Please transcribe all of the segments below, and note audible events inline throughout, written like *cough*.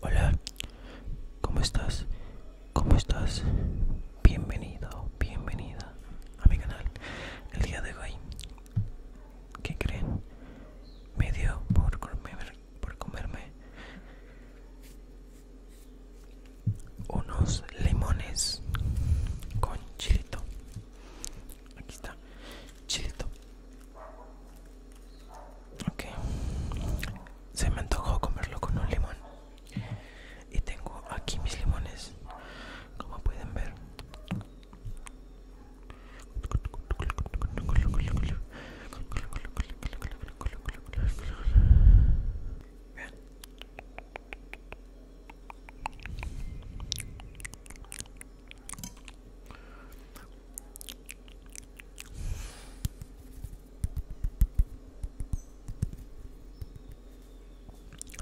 Hola, ¿cómo estás? ¿Cómo estás? Bienvenido, bienvenida a mi canal. El día de hoy, ¿qué creen? Me dio por, comer, por comerme unos limones con chilito. Aquí está chilito. Ok, se me antojó comerlo con un limón. Y tengo aquí mis limones, como pueden ver.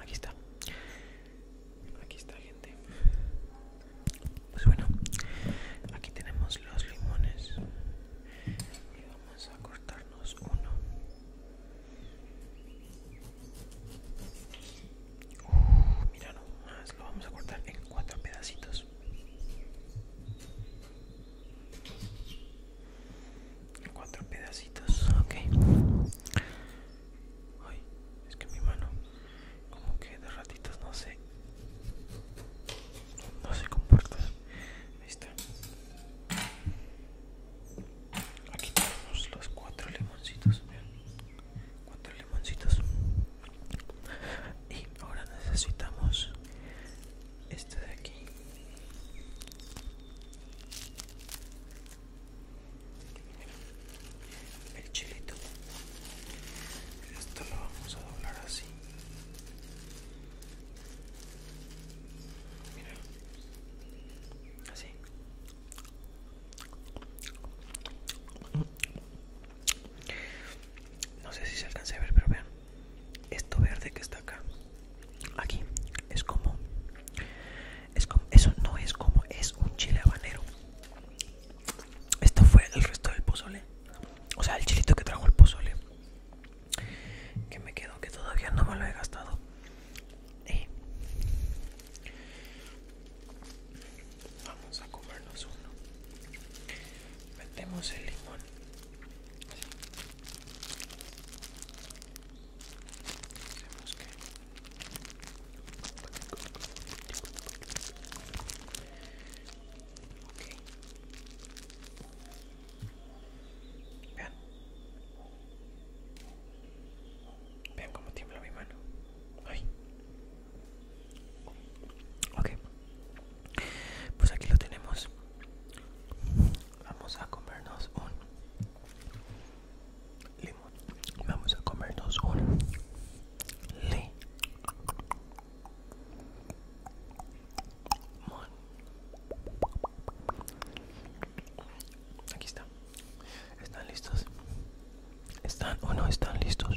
Aquí está. Aquí está, gente. Pues bueno, aquí tenemos los limones. Y vamos a cortarnos uno mira nomás, lo vamos a cortar en cuatro pedacitos. En cuatro pedacitos, ok. Ay, es que mi mano, como que de ratitos no se... No se comporta. Ahí Aquí tenemos los cuatro limoncitos. Vean cuatro limoncitos y ahora necesitamos este de aquí el chilito esto lo vamos a doblar así mira así no sé si se alcanza a ver, pero vean. Esto verde que está acá. Aquí es como es eso no es como es un chile habanero. Esto fue el resto del pozole. O sea, el chilito que trajo el pozole. Que me quedo que todavía no me lo he gastado. Eh. Vamos a comernos uno. Metemos el limón. Hacemos que okay. Vean. Vean como tiembla mi mano. Ay. Ok. Pues aquí lo tenemos. Vamos a comernos un limón. Vamos a comernos un limón. Aquí está. ¿Están listos? ¿Están o no están listos?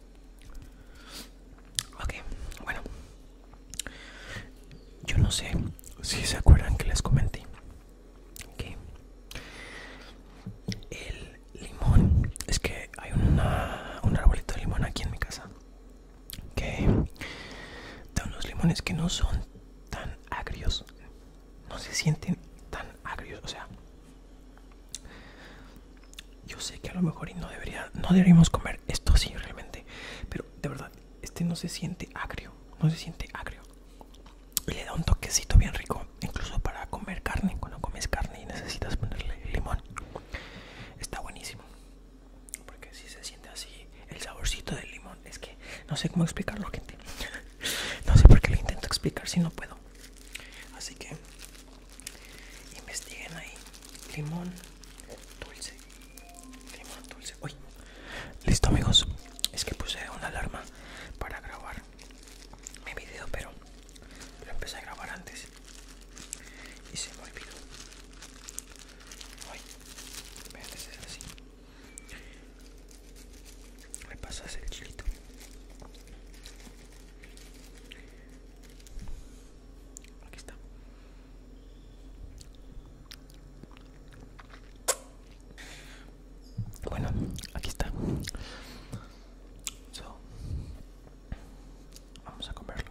Ok, bueno. Yo no sé si se acuerdan que les comenté que el limón, es que hay una, un arbolito de limón aquí en mi casa que da unos limones que no son tan agrios, no se sienten tan agrios, o sea, yo sé que a lo mejor y no deberíamos comer esto así realmente, pero de verdad, este no se siente agrio, no se siente agrio. Y le da un toquecito bien rico, incluso para comer carne, cuando comes carne y necesitas ponerle limón. Está buenísimo. Porque si se siente así, el saborcito del limón, es que no sé cómo explicarlo, gente. *laughs* No sé por qué lo intento explicar si no puedo así que investiguen ahí limón dulce limón dulce uy listo amigos es que puse una alarma para grabar mi video pero lo empecé a grabar antes y se me olvidó uy, este así me pasas el chilito aquí está bueno aquí está vamos a comerlo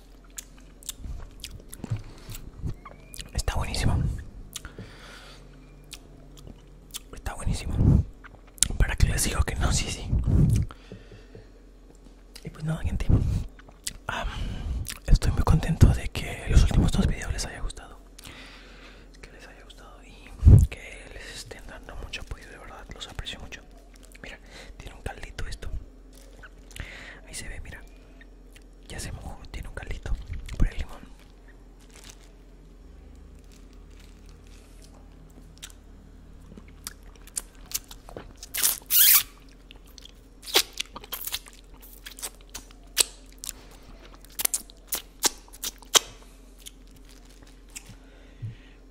Está buenísimo. Está buenísimo. Para que les digo que no, sí, sí. Y pues nada, gente. estoy muy contento de que los últimos dos videos les haya gustado. Que les haya gustado y que les estén dando mucho apoyo. De verdad, los aprecio mucho. Mira, tiene un caldito esto. Ahí se ve, mira. Ya se mojó, tiene un caldito por el limón.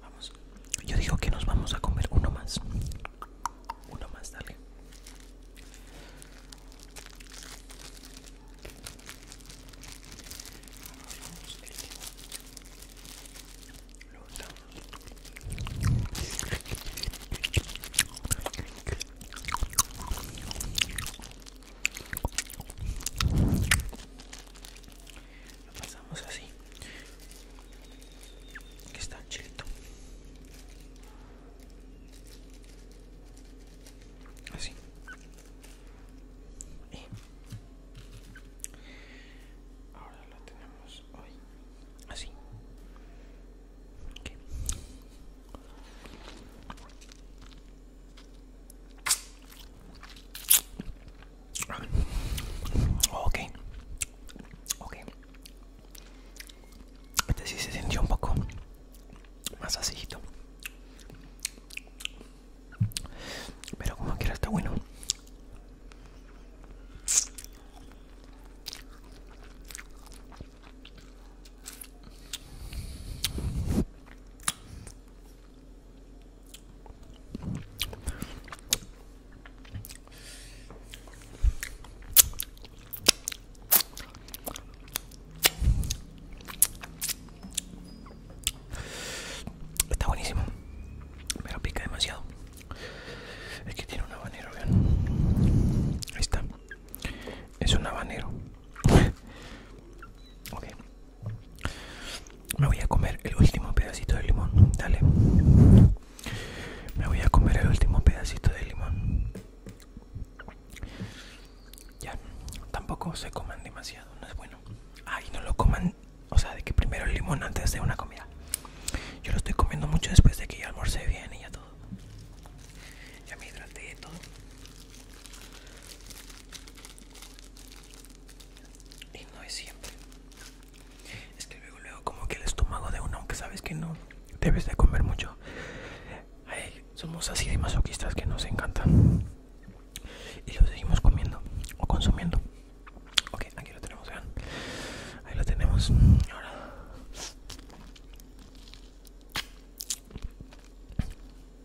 Vamos, yo digo que nos vamos a comer uno más. Uno más, dale lo pasamos así que está un chilito así y ahora lo tenemos hoy así Ok. okay. Este sí se sintió un poco más así. Pero como quiera está bueno. Está buenísimo, pero pica demasiado. Es que tiene un habanero, vean. Ahí está. Es un habanero. *laughs* Okay. Me voy a comer el último pedacito de limón. Dale. Me voy a comer el último pedacito de limón. Ya. Tampoco se coman demasiado. No es bueno. Ay, no lo coman. O sea, de que primero el limón antes de una comida. Yo lo estoy comiendo mucho después de que ya almorcé bien y ya todo. Ya me hidraté y todo y no es siempre es que luego luego como que el estómago de uno aunque sabes que no debes de comer mucho somos así de masoquistas que nos encantan y lo seguimos comiendo o consumiendo ok aquí lo tenemos vean ahí lo tenemos ahora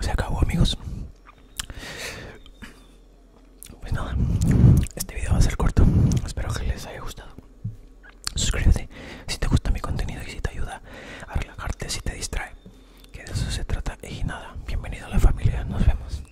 Se acabó amigos Pues nada Este video va a ser corto Espero que les haya gustado Suscríbete si te gusta mi contenido Y si te ayuda a relajarte Si te distrae Que de eso se trata Y nada, bienvenido a la familia Nos vemos